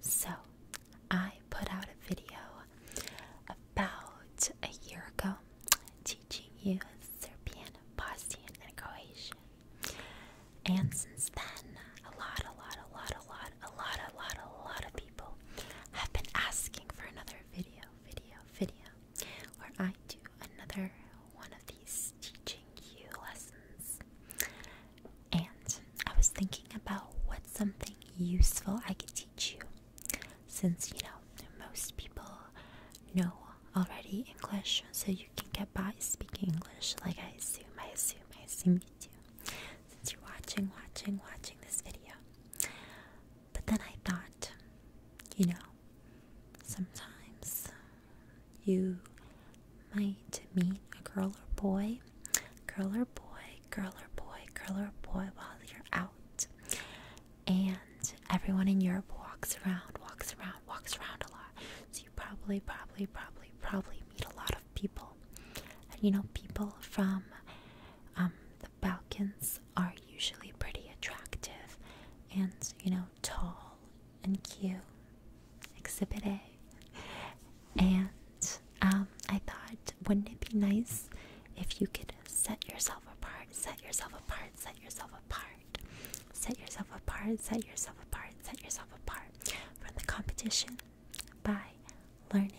So, I put out a video about a year ago teaching you Serbian, Bosnian, and Croatian. And since then, a lot, a lot, a lot, a lot, a lot, a lot, a lot of people have been asking for another video, video, video, where I do another one of these teaching you lessons. And I was thinking about what something useful I could teach you. Since, you know, most people know already English, so you can get by speaking English, like I assume, I assume, I assume you do. Since you're watching, watching, watching this video. But then I thought, you know, sometimes you might meet a girl or boy, girl or boy, girl or boy, girl or boy while you're out. And everyone in Europe walks around, walks around, walks around a lot. So you probably, probably, probably, probably meet a lot of people. And you know, people from um, the Balkans are usually pretty attractive and, you know, tall and Q, Exhibit A. And um, I thought, wouldn't it be nice if you could set yourself apart, set yourself apart, set yourself apart, set yourself apart, set yourself apart, set yourself apart from the competition by learning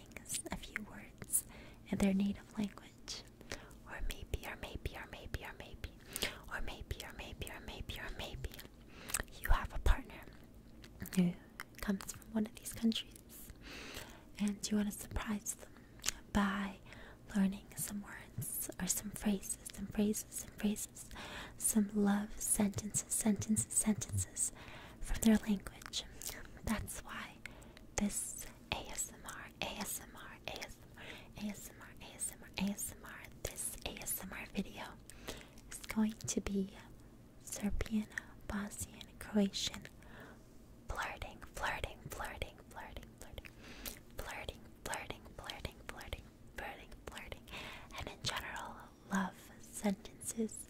a few words in their native language, or maybe, or maybe, or maybe, or maybe, or maybe, or maybe, or maybe, or maybe, you have a partner who comes from one of these countries and you want to surprise them by learning some words or some phrases and phrases and phrases, some love sentences, sentences, sentences from their language. That's why this ASMR, ASMR, ASMR, ASMR, ASMR, ASMR, this ASMR video it's going to be Serbian, Bosnian, Croatian, flirting, flirting, flirting, flirting, flirting, flirting, flirting, flirting, flirting, flirting, flirting, and in general, love sentences,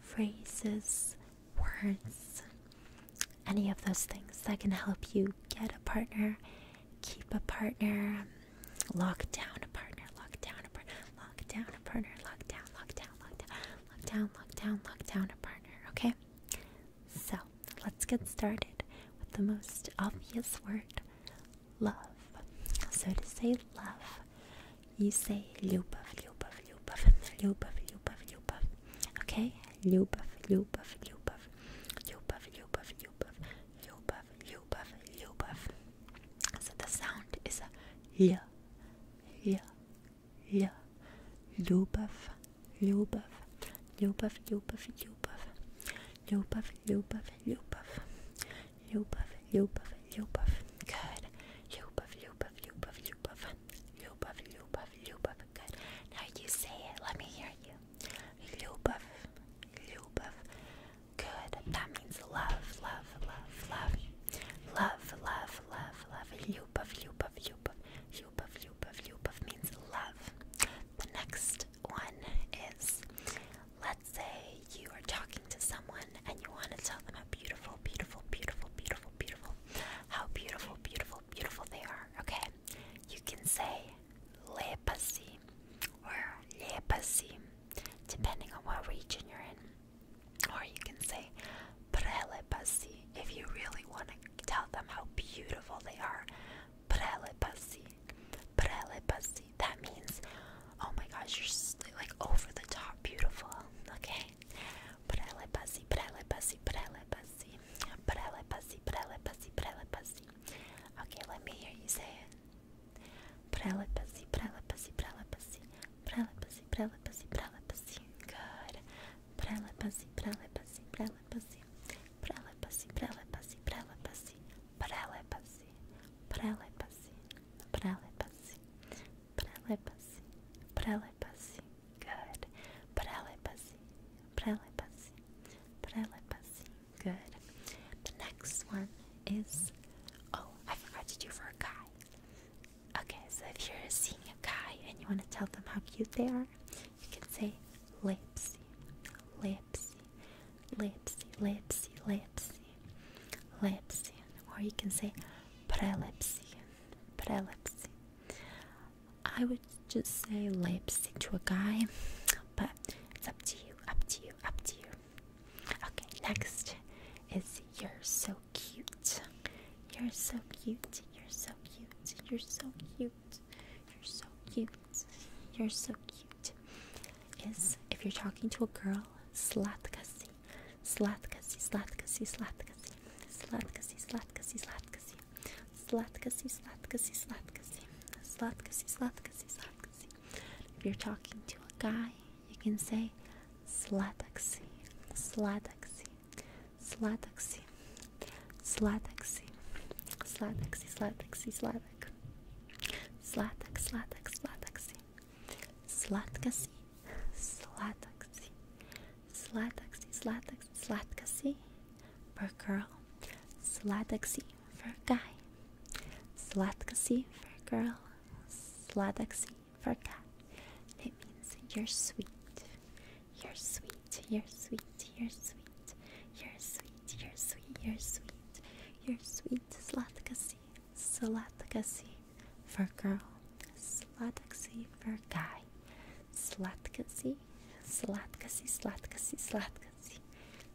phrases, words, any of those things that can help you get a partner, keep a partner, lock down a partner, lock down a partner, lock down a partner, lock down, lock down, lock down, lock down, lock down, lock down a partner. Okay, so let's get started with the most obvious word, love. So to say love, you say любовь, любовь, любовь, любовь, любовь, любовь. Okay, любовь, любовь, любовь, любовь, любовь, любовь, любовь, Lyubov, Lyubov. So the sound is a L, L, L. Lyubov, Lyubov, Lyubov, Lyubov, Lyubov. Lyubov, Lyubov, Lyubov. Lyubov, Lyubov, Lyubov. Good. Lyubov, Lyubov, Lyubov, Lyubov. Lyubov, Lyubov, Lyubov. Good. Now you say it. Let me hear you. Lyubov, Lyubov. Good. That means love, love, love, love. Love, love, love, love. Yupov, yupov, yupov. Yupov, yupov, yupov means love. The next one is let's say you are talking to someone and you want to tell them how beautiful, beautiful, beautiful, beautiful, beautiful, how beautiful, beautiful, beautiful they are. Okay? You can say le passé or le passé depending on what region you're in. Or you can say prele passi if you really want to tell them how beautiful they are. Prele passi. Prele passi. That means, oh my gosh, you're like over the top beautiful. Okay? Prele passi, prele passi, prele passi. Prele passi, prele passi, prele passi. Okay, let me hear you say it. Prelapacy, prelapacy, prelapacy, prelapacy, prelapacy, prelapacy. Good. Prelapacy, prelapacy, prelapacy, prelapacy, prelapacy, prelapacy, prelapacy, prelapacy, prelapacy, prelapacy, prelapacy. Good. Prelapacy, prelapacy, prelapacy. Good. The next one is. Oh, I forgot to do for a guy. Okay, so if you're seeing a guy and you want to tell them how cute they are, you can say lipsy, lipsy, lipsy, lipsy, lipsy, lipsy. Or you can say prelipsy, prelipsy. I would just say lipsy to a guy, but it's up to you, up to you, up to you. Okay, next is You're So Cute. You're so cute, you're so cute, you're so cute, you're so cute, you're so cute. Is if you're talking to a girl, slatkasi, slatkasi, slatkasi, slatkasi, slatkasi, slatkasi, slatkasi, slatkasi, slatkasi, slatkasi, slatkasi, slatkasi, slatkasi, slatkasi. If you're talking to a guy, you can say slataxi, slataxi, slataxi, slataxi, slataxi, slataxi, slatak, slatak, slatak, slataxi, slatkaxi, slataxi, slataxi, slataxi, slatkaxi, per girl, slataxi, for a guy, slatka si for a girl, Sladaxy for a guy. It means you're sweet, you're sweet, you're sweet, you're sweet, you're sweet, you're sweet, you're sweet, you're sweet, slatka si, for a girl, Sladaxy for a guy, slatka slatka si, si, slatka si, slatka si.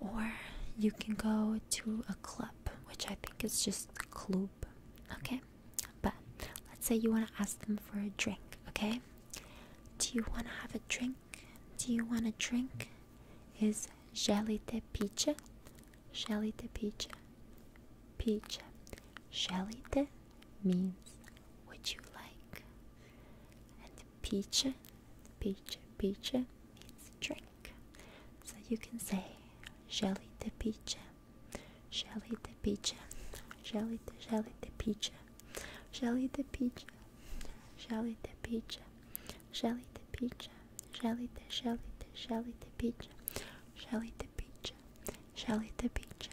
or you can go to a club, which I think is just a club. Okay? But let's say you want to ask them for a drink, okay? Do you want to have a drink? Do you want a drink? Is Jelite Picha? Jelite Picha. Picha. Jelite means would you like? the peach, peach, peach means drink. So you can say jelly the peach, jelly the peach, jelly the jelly the peach, jelly the peach, jelly the peach, jelly the peach, jelly the jelly the jelly the peach, jelly the peach, jelly the peach.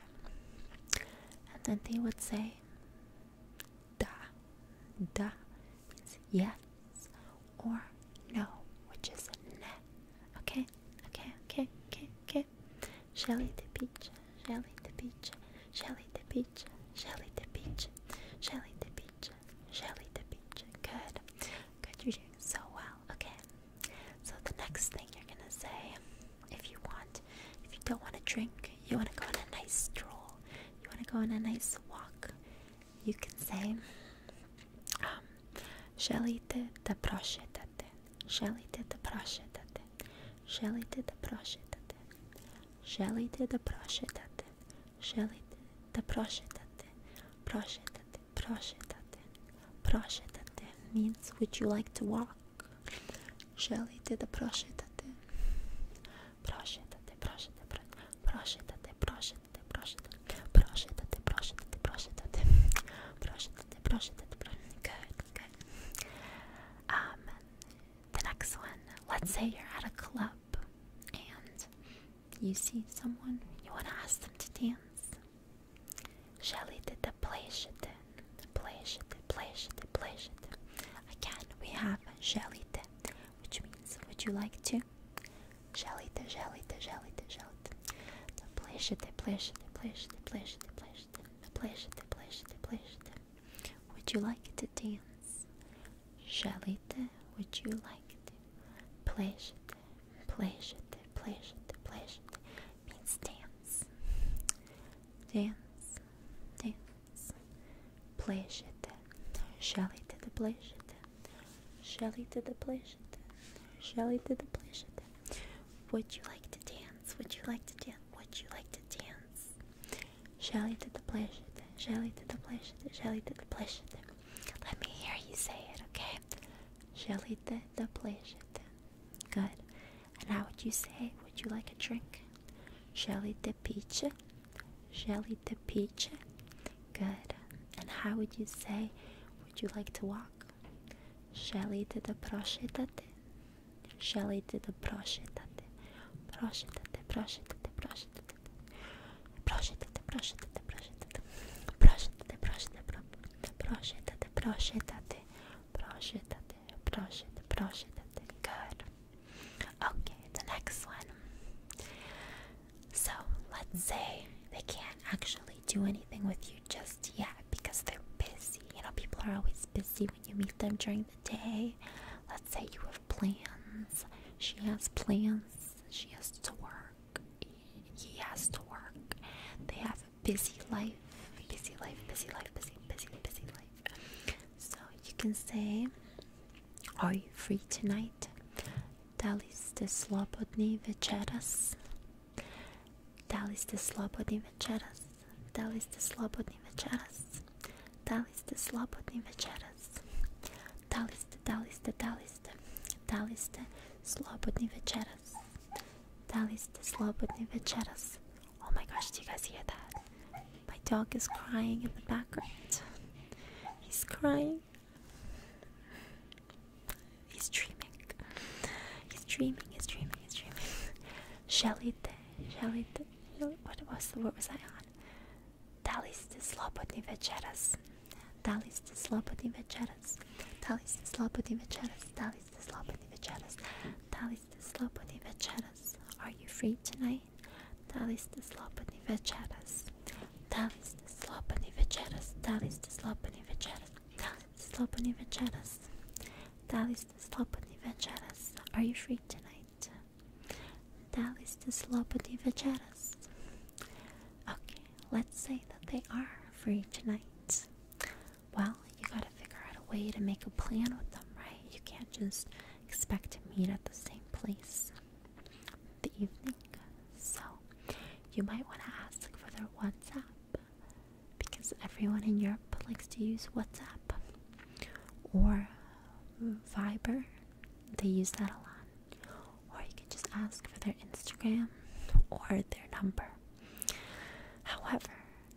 And then they would say Da. Da means yes or no, which is ne. Okay, okay, okay, okay, okay. Shelly the peach, Shelly the peach, Shelly the peach, Shelly the peach, Shelly the peach, Shelly the peach. Good. Good, you're doing so well. Okay. So the next thing you're gonna say if you want. If you don't want to drink, you want to go on a nice stroll, you want to go on a nice walk, you can say, um, Želite da prošetate? Želite da prošetate? Želite da prošetate? the da prošetate? Želite da prošetate? Prošetate, prošetate, means would you like to walk? Želite da prošetate? Prošetate, prošetate, prošetate, prošetate, prošetate, prošetate, prošetate, prošetate, prošetate, prošetate, Good, good. Um, the next one. Let's say you're at a club and you see someone, you want to ask them to dance. Želite da plešete? Playşete, playşete, playşete. Again, we have jelite, which means would you like to? Jelite, jelite, jelite, jelite. Playşete, playşete, playşete, playşete, playşete. Playşete, playşete, playşete. Would you like to dance? Jelite, would you like to? Playşete, playşete, playşete, playşete. Means dance dance, dance, plejete, şalite de plejete, şalite de plejete, şalite de plejete. Would you like to dance? Would you like to dance? Would you like to dance? Şalite de plejete, şalite de plejete, şalite de plejete. Let me hear you say it, okay? Şalite de plejete. Good. And how would you say, would you like a drink? Jelly de peach? Jelly de peach? Good. And how would you say, would you like to walk? Jelly de prošetate? Želite da prošetate? Prošetate, prošetate, prošetate. Prošetate, prošetate, prošetate. Prošetate, prošetate, prošetate, prošetate brush it at it, brush it, brush it at it. Good. Okay, the next one. So let's say they can't actually do anything with you just yet because they're busy. You know, people are always busy when you meet them during the day. Let's say you have plans. She has plans. She has to work. He has to work. They have a busy life. Busy life, busy life, busy, busy, busy life life. So you can say, Are you free tonight? Daliste slobodni večeras. Daliste slobodni večeras. Daliste slobodni večeras. Daliste slobodni večeras. Daliste, daliste, daliste. Daliste slobodni večeras. Daliste slobodni večeras. Oh my gosh, do you guys hear that? My dog is crying in the background. He's crying. He's dreaming. He's dreaming, he's dreaming, he's dreaming. Shelite, shelite, what was the what was I on? Dali ste slobodni večeras. Dali ste slobodni večeras. Dali ste slobodni večeras. Dali ste slobodni večeras. Dali the Slobodni večeras. Are you free tonight? Da the ste slobodni večeras? Da li ste slobodni večeras? Da li ste slobodni večeras? Da li ste slobodni večeras? Da li ste slobodni večeras? Are you free tonight? Da the ste slobodni večeras? Okay, let's say that they are free tonight. Well, you gotta figure out a way to make a plan with them, right? You can't just expect to meet at the same place the evening. So, you might wanna ask for their WhatsApp because everyone in Europe likes to use WhatsApp or Viber, they use that a lot. Or you can just ask for their Instagram or their number. However,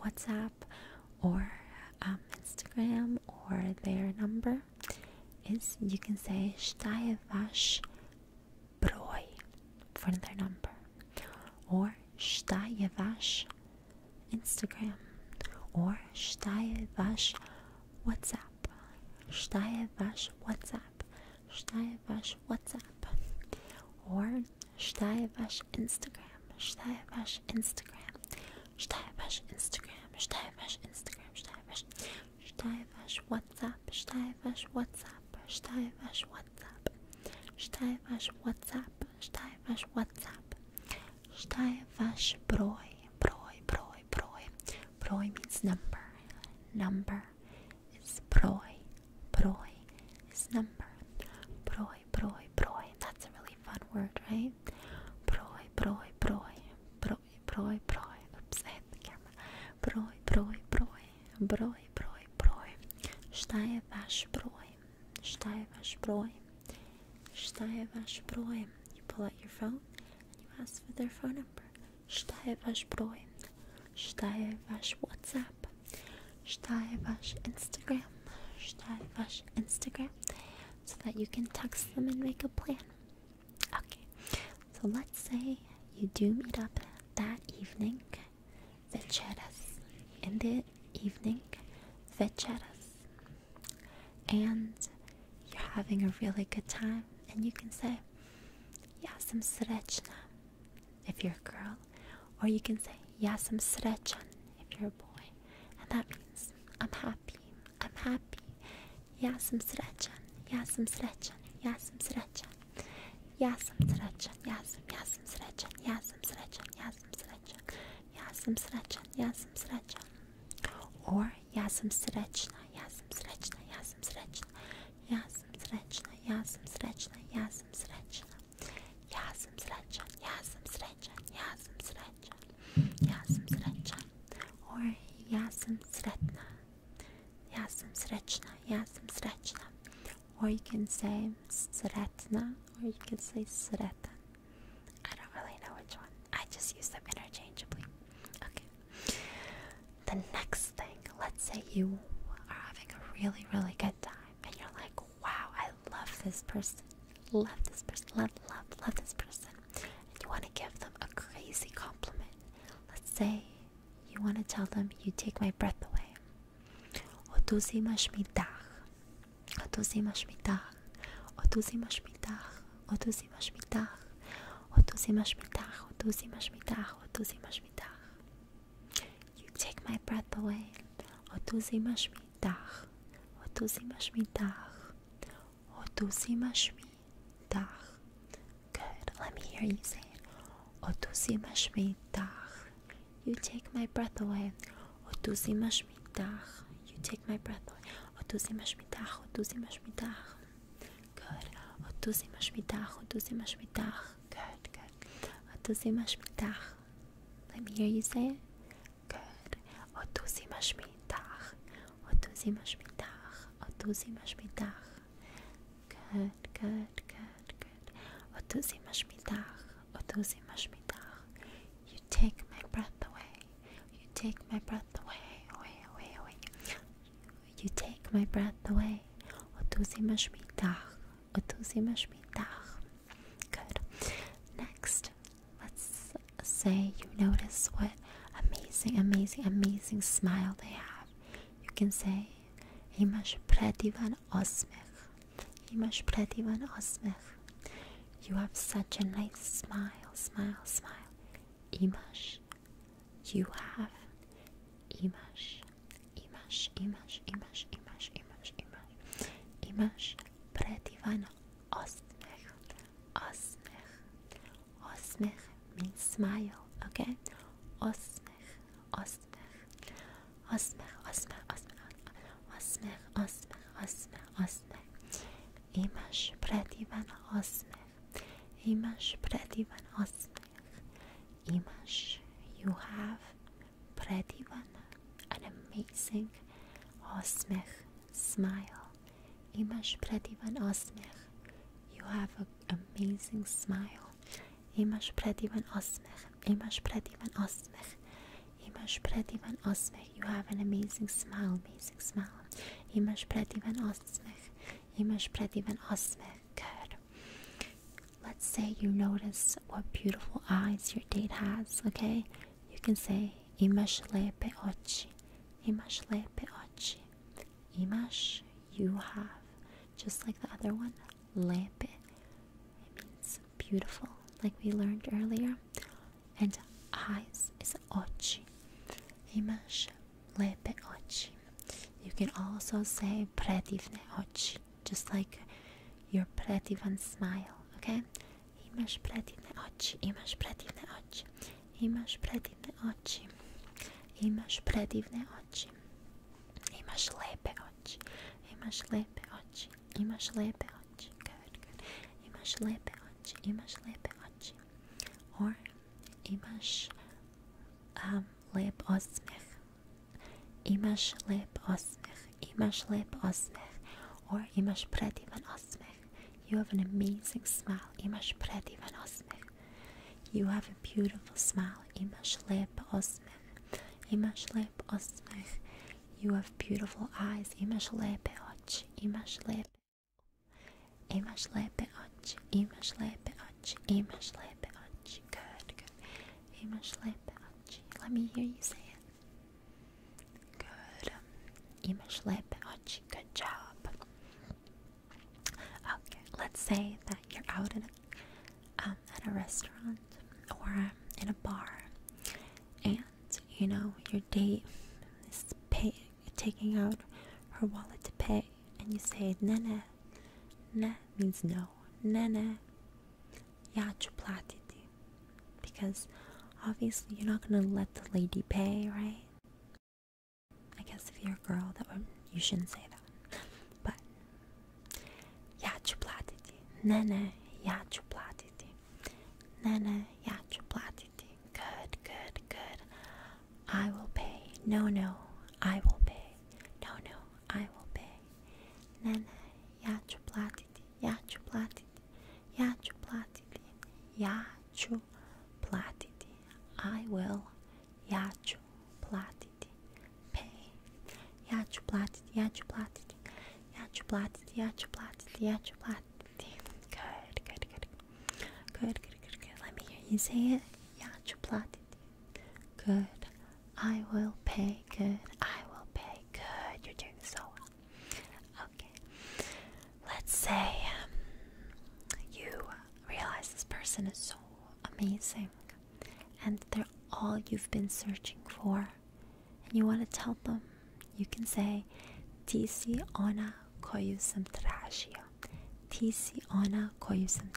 WhatsApp or um, Instagram or their number is you can say Staje broy for their number or Staje Instagram or Staje WhatsApp Staje WhatsApp Staje WhatsApp or Steibash Instagram, Steibash Instagram, Steibash Instagram, Steibash Instagram, Steibash, Steibash WhatsApp, Steibash WhatsApp, Steibash WhatsApp, Steibash WhatsApp, Steibash WhatsApp, Steibash Broi, Broi, Broi, Broi, Broi means number, number is Broi, Broi is number, Broi Proy, proy, proy. That's a really fun word, right? Proy, proy, proy. Proy, proy, proy. Oops, I hit the camera. Proy, proy, proy. Proy, proy, proy. Stei vash proy. Stei vash proy. Stei vash proy. You pull out your phone and you ask for their phone number. Stei vash proy. Stei vash WhatsApp. Steivash Instagram, Steivash Instagram, so that you can text them and make a plan. Okay, so let's say you do meet up that evening, večeras, In the evening, večeras, And you're having a really good time, and you can say, yeah, some srečna. If you're a girl, well. Or you can say Yasam Srechan if you're a boy. And that means I'm happy, I'm happy. Yasam Srechan, Yasam Srechan, Yasam Srechan. Yasam Srechan, Yasam, Yasam Srechan, Yasam Srechan, Yasam Srechan, Yasam Srechan, Yasam Srechan. Or Yasam Srechna, Yasam Srechna, Yasam Srechna, Yasam Srechna, Yasam Srechna, Yasam Srechna. Yazım sıraçan, yazım sıraçan, yazım sıraçan, yazım sıraçan. Or yazım sıraçna, yazım sıraçna, yazım sıraçna. Or you can say sıraçna, or you can say sıraçan. I don't really know which one. I just use them interchangeably. Okay. The next thing, let's say you are having a really, really good time and you're like, wow, I love this person, love this person, love, love, love this person, and you want to give them a crazy compliment. Let's say you want to tell them, you take my breath away. You take my breath away dar otuzimasz mi dar otuzimasz good let me hear you say it otuzimasz you take my breath away otuzimasz mi you take my breath away otuzimasz mi dar otuzimasz good otuzimasz mi dar otuzimasz good good otuzimasz mi let me hear you say it. Good. Otuzimashmitach. Otuzimashmitach. Otuzimashmitach. Good, good, good, good. Otuzimashmitach. Otuzimashmitach. You take my breath away. You take my breath away. Away, away, away. You take my breath away. Otuzimashmitach. Good. Next, let's say you notice what amazing, amazing, amazing smile they have. You can say, "Imash predivan osmech." Imash predivan osmech. You have such a nice smile, smile, smile. Imash. You have. Imash. Imash. Imash. Imash. Imash. Imash. Imash. Imash. Pretivano. Osmech. Osmech. Osmech means smile, okay? Osmech. Osmech. Osmech. Osmech. Osmech. Osmech. Osmech. Osmech. Imaš predivan osmeh. Imaš predivan osmeh. Imaš. You have. Predivana, an amazing Osmich smile. Imash Predivan Osmich, you have an amazing smile. Imash Predivan Osmich, Imash Predivan Osmich, Imash Predivan Osmich, you have an amazing smile, amazing smile. Imash Predivan Osmich, Imash Predivan Osmich, good let's say you notice what beautiful eyes your date has, okay? You can say imash lepe ochi. Imash lepe ochi. Imash you have. Just like the other one, lepe. It means beautiful, like we learned earlier. And eyes is ochi. Imash lepe ochi. You can also say predivne ochi. Just like your pretivan smile, okay? I masz pretywne oczy, i masz pretywne oczy, i masz pretywne oczy, i masz pretywne oczy, i masz lepe oczy, i masz lepe oczy, i masz lepe oczy, good, good, i masz lepe oczy, i masz lepe oczy, or i masz um, lep osmech, إيماش لاب أصمخ إيماش لاب أصمخ or إيماش برادي من أصمخ You have an amazing smile إيماش برادي من أصمخ You have a beautiful smile إيماش لاب أصمخ إيماش لاب أصمخ You have beautiful eyes إيماش لاب أتش إيماش لاب إيماش لاب أتش إيماش لاب أتش إيماش لاب أتش Good good إيماش لاب بعطشي let me hear you say it good image lip ouchie good job okay let's say that you're out in a, um, at a restaurant or um, in a bar and you know your date is pay, taking out her wallet to pay and you say nene ne means no nene Yaç platiti. Because obviously you're not gonna let the lady pay, right? I guess if you're a girl, that would you shouldn't say that. But Yaç platiti. Nene yaç platiti. Nene yaç platiti. Good, good, good. I will pay. No, no, I will pay. No, no, I will pay. Nene yaç platiti platiti, ja ću platiti, ja ću platiti, ja ću platiti, I will, ja ću platiti, pay, ja ću platiti, ja ću platiti, ja ću platiti, ja ću platiti, ja ću platiti, good, good, good, good, good, good, good, let me hear you say it, ja ću platiti, good, I will pay good. I will pay good. You're doing so well. Okay. Let's say um, you realize this person is so amazing and they're all you've been searching for. And you want to tell them, you can say, "Tsi ona koyu sam Tsi ona koyu sam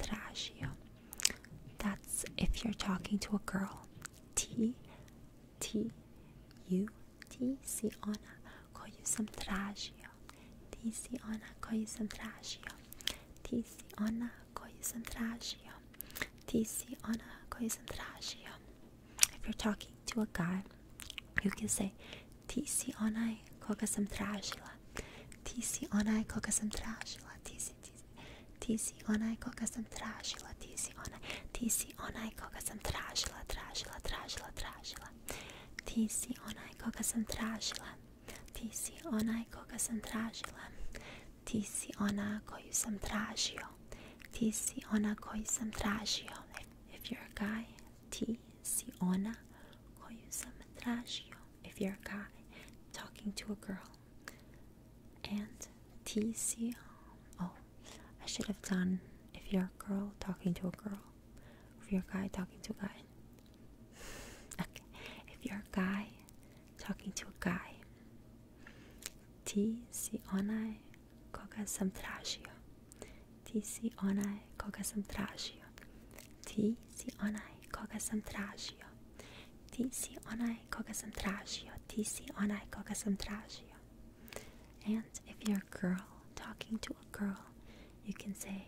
That's if you're talking to a girl. T T U T si ona koju sam tražio Ti si ona koju tražio Ti si ona koju tražio Ti si ona koju tražio If you're talking to a guy you can say Ti si onaj koga sam tražila Ti si onaj koga sam tražila Ti si si, ti si, ti si onaj koga sam tražila, ti si onaj, ti si onaj koga sam tražila, tražila, tražila, tražila. Ti si onaj koga sam tražila, ti si onaj koga sam tražila, ti si ona koju sam tražio, ti si ona koju sam tražio. If you're a guy, ti si ona koju sam tražio. If you're a guy, talking to a girl. and TCO. Oh, I should have done if you're a girl talking to a girl, if you're a guy talking to a guy. okay, if you're a guy talking to a guy, TC onai koga sam tražio. Ti si onaj koga sam tražio. Ti koga sam tražio. Ti koga sam tražio, ti si onaj sam tražio. And if you're a girl talking to a girl, you can say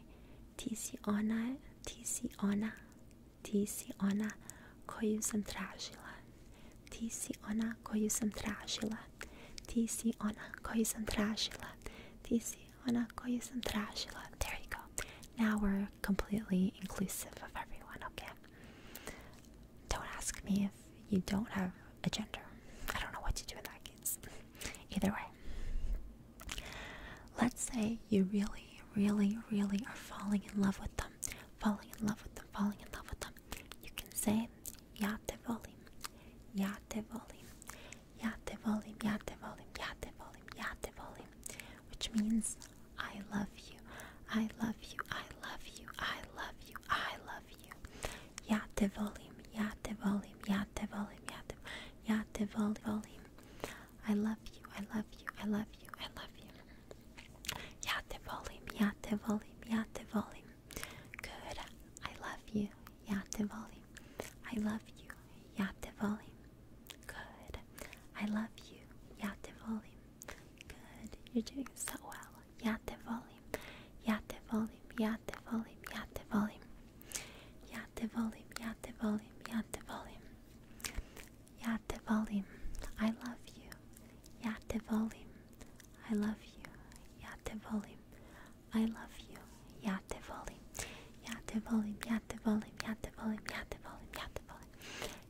ti ona, ti ona, ti ona koju sam tražila. Ti ona koju sam tražila. Ti ona koju sam tražila. Ti ona koju sam tražila. There you go. Now we're completely inclusive of everyone, okay? Don't ask me if you don't have a gender. I don't know what to do in that case. Either way, let's say you really, really, really are falling in love with them, falling in love with them, falling in love with them. You can say, Ya te volim, ya te volim, ya te volim, ya te volim, ya te volim, ya te volim, which means I love you. I love you. I love you. I love you. I love you. Yate volim. Yate volim. Yate volim. Yate. Yate volim. I love you. I love you. I love you. I love you. Yate volim. Yate volim. Yate volim. Good. I love you. Yate volim. I love you. Yate volim. Good. I love you. Yate volim. Good. You're doing so well. Yate volume. Yate volume. Yate volume. Yate volume. Yate volume. Yate volume. Yate volume. Yate volume. I love you. Yate volume. I love you. Yate volume. I love you. Yate volume. Yate volume. Yate volume. Yate volume. Yate volume. Yate volume.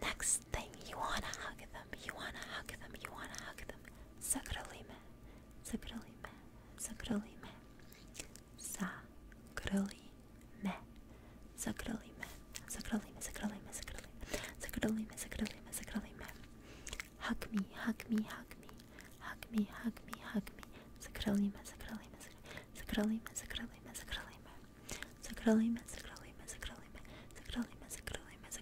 Next thing, you wanna hug them, you wanna hug them, you wanna hug them. Sakrolime, sakrolime, sakrolime, sakrolime, sakrolime, sakrolime, sakrolime, sakrolime, sakrolime, sakrolime. Hug me, hug me, hug me, hug me, hug me, hug me. Sakrolime, sakrolime, sakrolime, sakrolime, sakrolime, sakrolime, sakrolime, sakrolime, sakrolime, sakrolime good, good,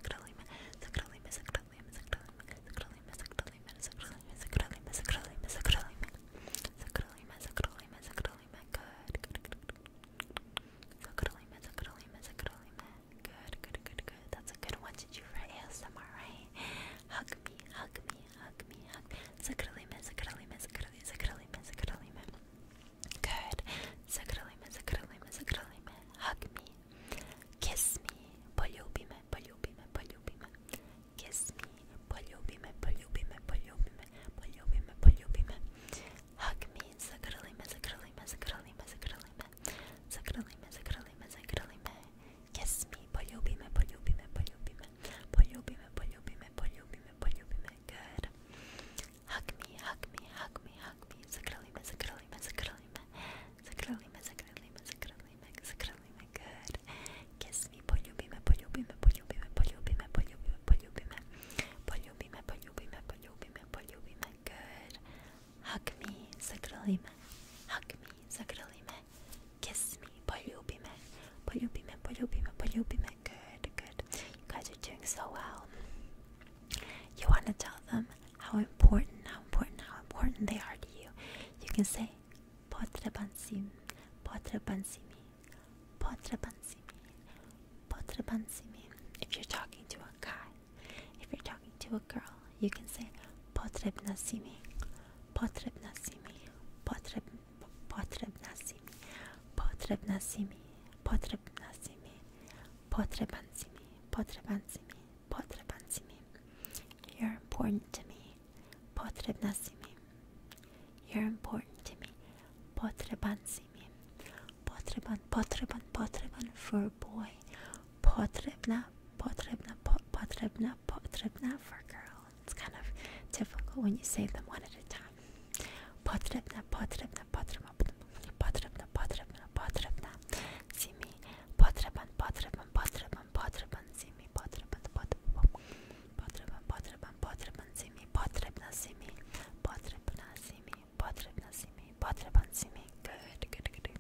good, good. That's a good one to do for ASMR, right? Hug me, hug me, hug me, hug me. Zakralime, zakralime, zakralime, zakralime, zakralime. Good. Zagrlime, zagrlime, zagrlime. Hug me. Kiss me. Poljubi me, poljubi me, poljubi me. Kiss me. Poljubi me, poljubi me, poljubi me. Poljubi me, poljubi me. Hug me. Zagrlime, zagrlime, zagrlime, zagrlime. Zagrlime, zagrlime, zagrlime. Kiss me. Poljubi me, poljubi me, poljubi me. Poljubi me, poljubi me, poljubi me, poljubi me. Good. Hug me, hug me, hug me, hug me. Zakralima, zakralima, zakralima. Zakralima, zakralima, zakralima, zakralima. Good. Kiss me, poljubime, poljubime, poljubime, poljubime, poljubime, poljubime. Poljubime, poljubime, poljubime, poljubime. Good. Hug me, zakralima. Hug me, zakralima. Kiss me, poljubime. Poljubime, poljubime, poljubime. Good, good. You guys are doing so well. You want to tell them how important, how important, how important they are to you. You can say, Potrebansim, Potrebansimi, Potrebansimi, Potrebansimi. If you're talking to a guy, if you're talking to a girl, you can say, Potrebnasimi, Potrebnasimi, Potreb, Potrebnasimi, Potrebnasimi, Potrebnasimi potrebnați mi, potrebanți mi, potrebanți mi, potrebanți mi. You're important to me, potrebnați mi. You're important to me, potrebanți mi. Potreban, potreban, potreban for boy. Potrebna, potrebna, pot, potrebna, potrebna for girl. It's kind of difficult when you say them one at a time. Potrebna, potrebna, potrebna, potrebna, potrebna, potrebna, si mi potreban, potreban, potreban, potreban, si mi potreban, potreban, potreban, potreban, si potrebna, si potrebna, si potrebna, si mi potreban, good, good, good, good,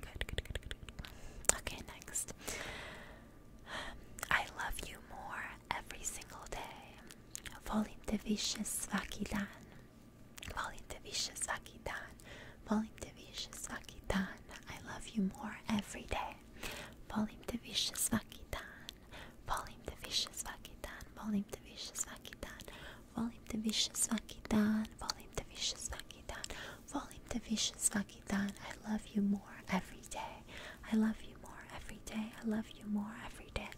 good, good, Okay, next. I love you more every single day. Volim te više svaki Politavishasaki-tan, Politavishasaki-tan, I love you more every day. Politavishasaki-tan, Politavishasaki-tan, Politavishasaki-tan, Politavishasaki-tan, Politavishasaki-tan, Politavishasaki-tan, I love you more every day. I love you more every day. I love you more every day.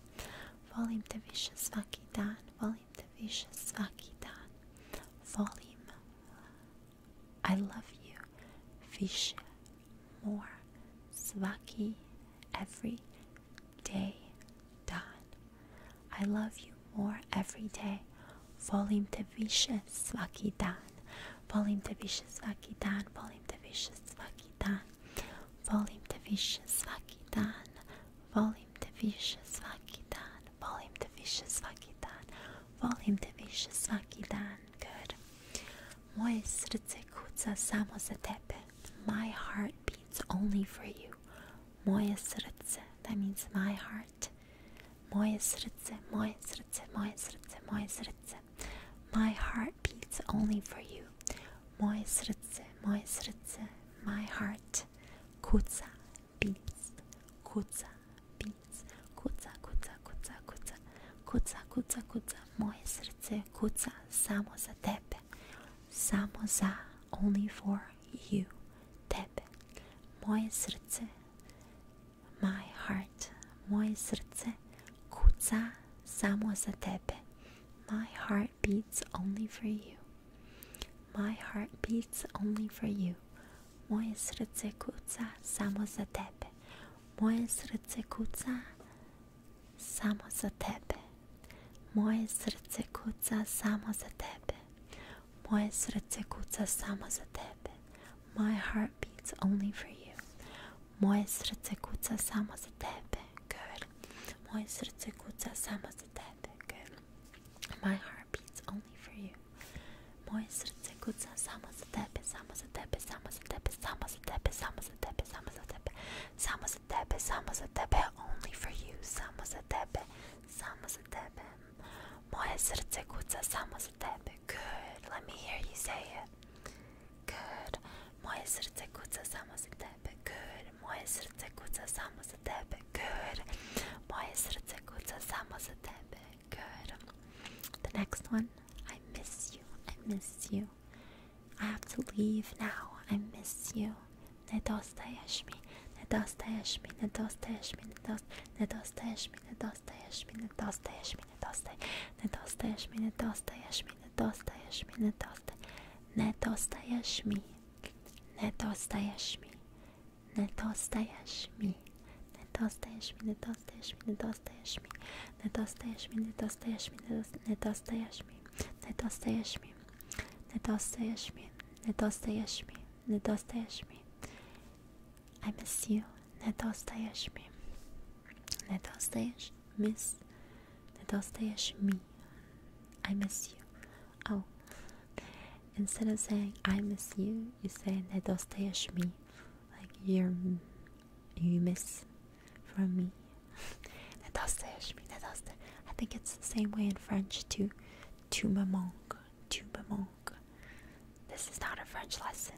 Volim Tavisha Svaki Dan. Volume the Vicious Akitan. Volume I Love You. Vishe More. Swaki Every Day. Don. I Love You More Every Day. Volume the Vicious Svakitan. Volume the Vicious Svakitan. Volume the Vicious Svakitan. Volume the Vicious Svakitan. Volim Tavishasvakidan, Volim Tavishasvakidan, Volim Tavishasvakidan. Good. Moje srdce kuca samo za tebe. My heart beats only for you. Moje srdce, that means my heart. Moje srdce, moje srdce, moje srdce, moje srdce. My heart beats only for you. Moje srdce, moje srdce, my heart. Kutsa beats, kutsa beats, kutsa kutsa kutsa kutsa, kutsa kutsa kutsa. Moje srce kutsa samo za tebe, samo za only for you, tebe. Moje srce, my heart. Moje srce kutsa samo za tebe. My heart beats only for you. My heart beats only for you. Moje srdce kuca samo za tebe. Moje srdce kuca samo za tebe. Moje srdce kuca samo za tebe. Moje srdce kuca samo za tebe. My heart beats only for you. Moje srdce kuca samo za tebe. Good. Moje srdce kuca samo za jest wtedy, gdy my heart beats only for you. Moje serce kuca samo za tebe, samo za tebe, samo za tebe, samo za tebe, samo za tebe, samo za tebe, samo za tebe, samo za tebe, only for you, samo za tebe, samo za tebe. Moje serce kuca samo za tebe. Good, let me hear you say it. Good. Moje serce kuca samo za tebe. Good. Moje serce kuca samo za tebe, good. Moje serce kuca samo za tebe, good. The next one, I miss you, I miss you. I have to leave now, I miss you. Nie dostajesz mi, nie dostajesz mi, nie dostajesz mi, nie dostajesz nie dostajesz mi, nie dostajesz mi, nie dostajesz mi, nie dostajesz mi, nie dostajesz mi, nie dostajesz mi, nie dostajesz nie dostajesz mi. Netostajashmi, netostajashmi, netostajashmi, netostajashmi, netostajashmi, netostajashmi, netostajashmi, netostajashmi, netostajashmi, netostajashmi, netostajashmi, netostajashmi. I miss you, netostajashmi, netostajashmi. Miss Nedostayesh me. I miss you. Oh. Instead of saying I miss you, you say Nedostayesh me. Like you're you miss from me. Nedostayesh me. Nedoste. I think it's the same way in French too. Tu me manques. Tu me This is not a French lesson.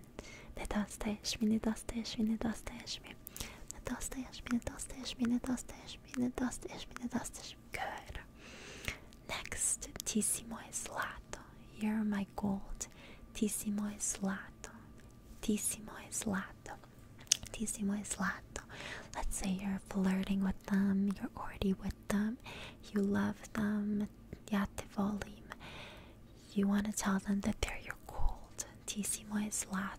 Nedostayesh me. Nedostayesh me. Nedostayesh me. Good. Next, tisimo is lato. You're my gold. Tisimo is lato. Tisimo is lato. Tissimo is lato. Let's say you're flirting with them, you're already with them, you love them, yeah, the You want to tell them that they're your gold. Tisimo is lato.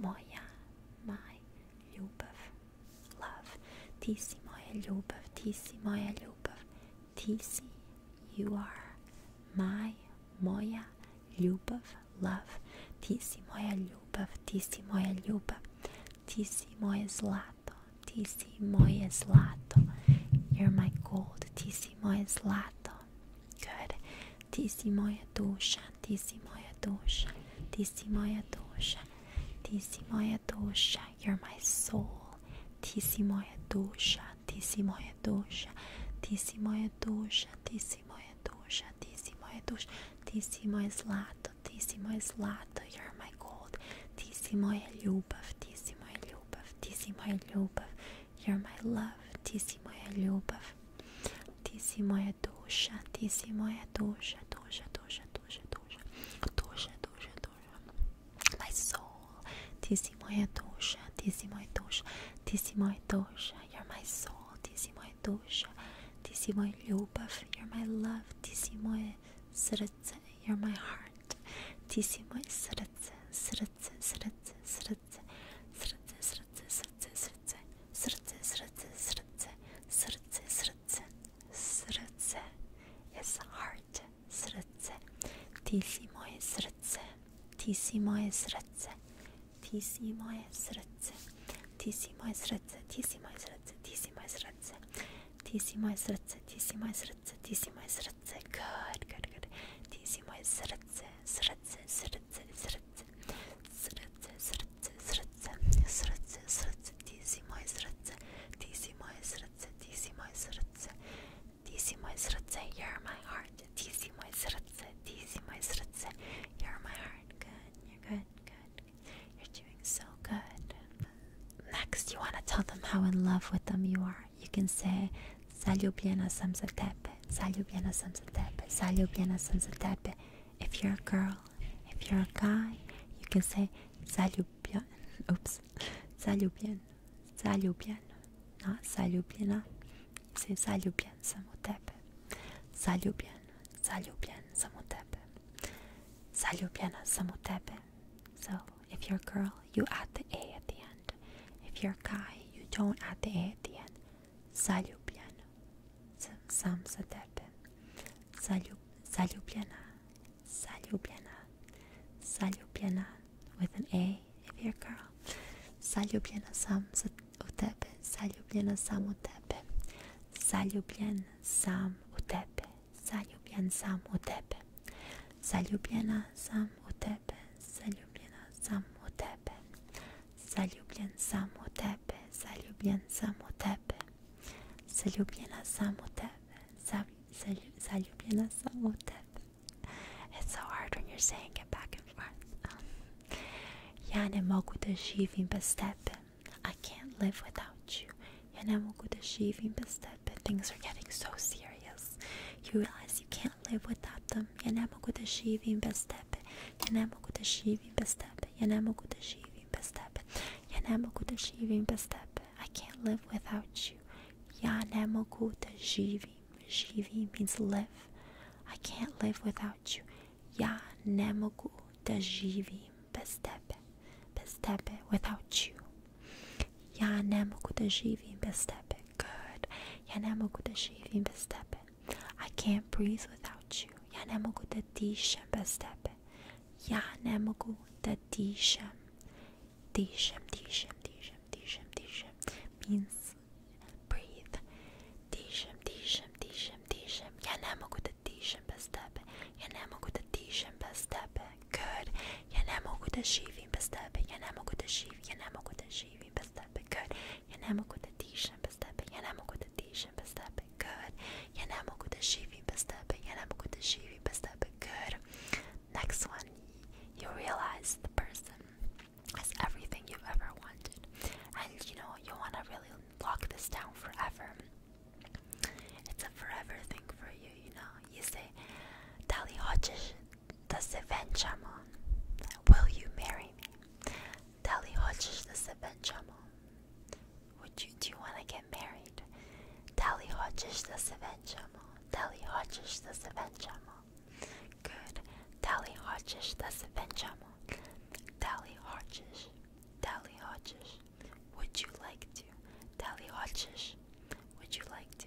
Moja, my, любовь, love. Ти си моя любов, ти си моя любов. Ти си, you are, my, моя, любов, love. Ти си моя любов, ти си моя любов. Ти си моє злато, ти си моє злато. You're my gold, ти си моє злато. Good. Tisimaya dosha, Tisimaya dosha, Tisimaya dosha, Tisimaya dosha. You're my soul. Tisimaya dosha, Tisimaya dosha, Tisimaya dosha, Tisimaya dosha, Tisimaya dosha, Tisimaya zlato, Tisimaya zlato. You're my gold. Tisimaya ljubov, Tisimaya ljubov, Tisimaya ljubov. You're my love, Ti si moja ljubov, Ti si moja duša, Ti si moja duša, duša, duša, duša, duša, duša, duša, duša, my soul, Ti si moja duša, Ti si moja duša, Ti si moja duša, you're my soul, Ti si moja duša, Ti si moja ljubov, you're my love, Ti si moje srce, you're my heart, Ti si moje srce, srce, srce, srce, сердце, сердце, сердце, сердце, сердце, сердце, сердце, сердце, сердце, сердце, сердце, is heart, сердце, ты си мое сердце, ты си мое сердце, ты си мое сердце, ты си мое сердце, ты си мое сердце, ты си мое сердце, ты си мое сердце, ты си мое сердце, ты си мое сердце, good, good, good, ты си мое сердце, сердце my srce, you're my heart. DC my srce, DC my srce, you're my heart. Good, you're good, good. You're doing so good. Next, you want to tell them how in love with them you are. You can say Zaljubljena sam za tebe, zaljubljena sam za tebe, zaljubljena sam za tebe. If you're a girl, if you're a guy, you can say zaljubljen, oops, zaljubljen, zaljubljen, not zaljubljena. You say zaljubljen sam u tebe, zaljubljen, zaljubljen sam u tebe, zaljubljena sam u tebe. So, if you're a girl, you add the A at the end. If you're a guy, you don't add the A at the end. Zaljubljen, sam za tebe. Zaljub, zaljubljena, zaljubljena, zaljubljena with an A if you're a girl. Zaljubljena sam za, u tebe, zaljubljena sam u tebe. Zaljubljen sam u tebe, zaljubljen sam u tebe. Zaljubljena sam u tebe, zaljubljena sam u tebe. Zaljubljen samo u tebe. Zaljubljen samo u tebe. Zaljubljen samo u tebe. It's so hard when you're saying it back and forth. Um, ja ne mogu da živim I can't live without you. Ja ne mogu da živim bez tebe. Things are getting so serious. You realize you can't can't live without them. Yanamaku Tashivim Bestepe, Yanamaku Tashivim Bestepe, Yanamaku Tashivim Bestepe, Yanamaku Tashivim Bestepe. I can't live without you. Yanamoku Tashivim. Shivi means live. I can't live without you. Yanamoku Tashivim Bestepe, Bestepe without you. Yanamoku Tashivim Bestepe good. Я не могу да живим без тебе. I can't breathe without you. Я не могу да дишам без тебе. Я не могу да дишам. Дишам, дишам, дишам, дишам, дишам. Means breathe. Дишам, дишам, дишам, дишам. Я не могу да дишам без тебе. Я не могу да дишам без тебе. Good. Я не могу да живим без тебе. Я не могу да живим. Я не могу да живим без тебе. Good. I'm good ينامك وتتيشن بستبي ينامك وتتيشن بستبي good but ينامك وتشيفي بستبي ينامك وتشيفي بستبي good but step good next one you realize the person has everything you've ever wanted and you know you want to really lock this down forever it's a forever thing for you you know you say tally hodges the event Will you marry me? Dali hojish the event Would you do you want to get married? Dali hojish the event chamon. Dali hojish the event Good. Dali hojish the event chamon. Dali hojish. Dali hojish. Would you like to? Dali hojish. Would you like to?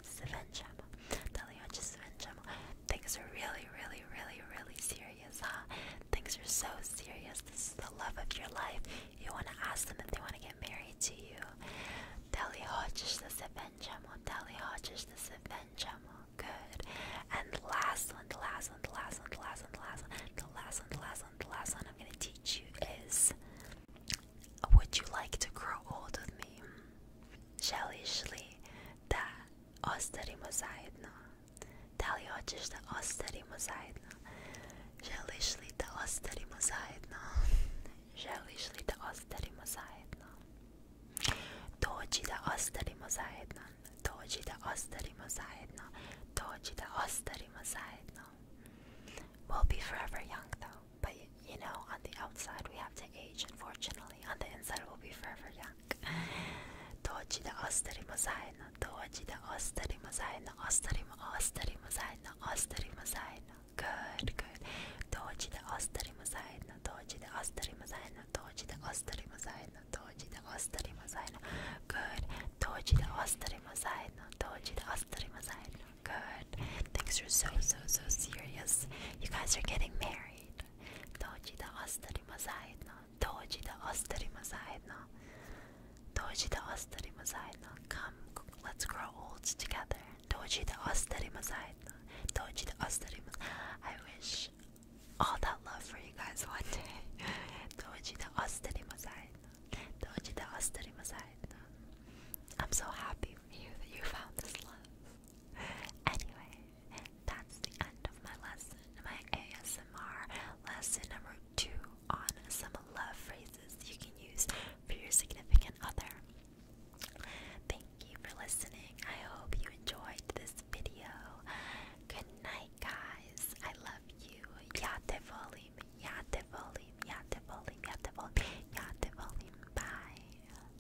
Svenchamo. Daliochi Svenchamo. Things are really, really, really, really serious, huh? Things are so serious. This is the love of your life. You want to ask them if they want to get married to you. Daliochi Svenchamo. Daliochi Svenchamo. Good. And the last one, the last one, the last one, the last one, the last one, the last one, the last one, the last one I'm going to teach you is Would you like to grow old with me? Shelly Shelly, that ostanimo zajedno. Da li hoćeš da Želiš li da ostanimo Želiš li da ostanimo zajedno? Dođi da ostanimo zajedno. Dođi da ostanimo zajedno. We'll be forever young though, but you know, on the outside we have to to age, unfortunately. On the inside, will be forever young. Toji osterimo zajedno, toji da osterimo zajedno, osterimo, osterimo zajedno, osterimo zajedno. Good, good. Toji da osterimo zajedno, toji da osterimo zajedno, toji da osterimo zajedno, toji da osterimo zajedno. Good. Toji da osterimo zajedno, toji da osterimo zajedno. Good. Things are so so so serious. You guys are getting married dođi da ostarimo zajedno, dođi da ostarimo zajedno, dođi da ostarimo no? come, let's grow old together, dođi da ostarimo zajedno, dođi da ostarimo, I wish all that love for you guys one day, dođi da ostarimo zajedno, dođi da ostarimo no? I'm so happy for you that you found this love. Anyway, that's the end of my lesson, my ASMR lesson number two on some love phrases you can use for your significant other. Thank you for listening. I hope you enjoyed this video. Good night, guys. I love you. Yate volim, yate volim, yate volim, yate volim, yate volim. Bye.